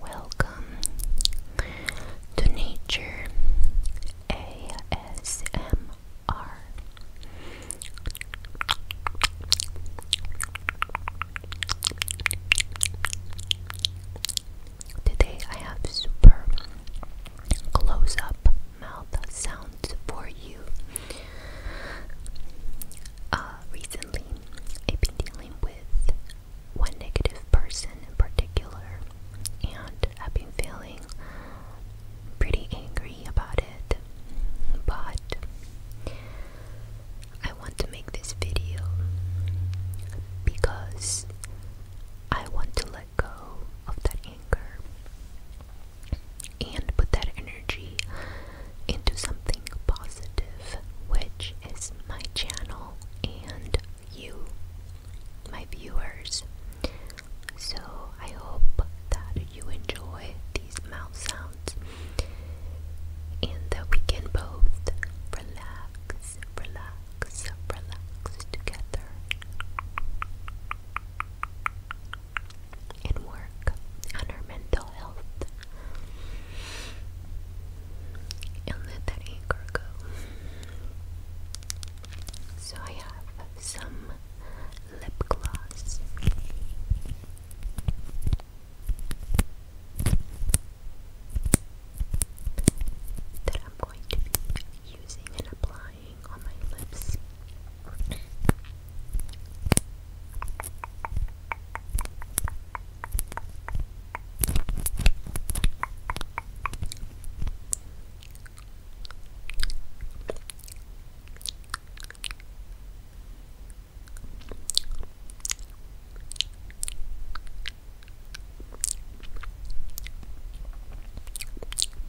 Welcome to Nature ASMR. Today I have super close up mouth sounds for you. Uh, recently, I've been dealing with one negative person in particular, and I've been feeling pretty angry about it. But I want to make this video because I want to let go of that anger and put that energy into something positive, which is my channel and you, my viewers. So I hope that you enjoy these mouth sounds and that we can both relax, relax, relax together and work on her mental health and let that anger eh, So I have some lip gloss. That I'm going to be using and applying lying on my lips.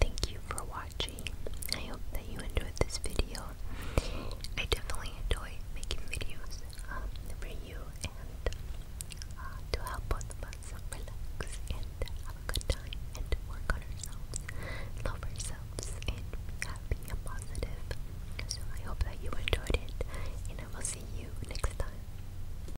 Thank you for watching. I hope that you enjoyed this video. I definitely enjoy making videos um, for you and uh, to help both of us relax and have a good time and work on ourselves, love ourselves, and be happy and positive. So I hope that you enjoyed it, and I will see you next time.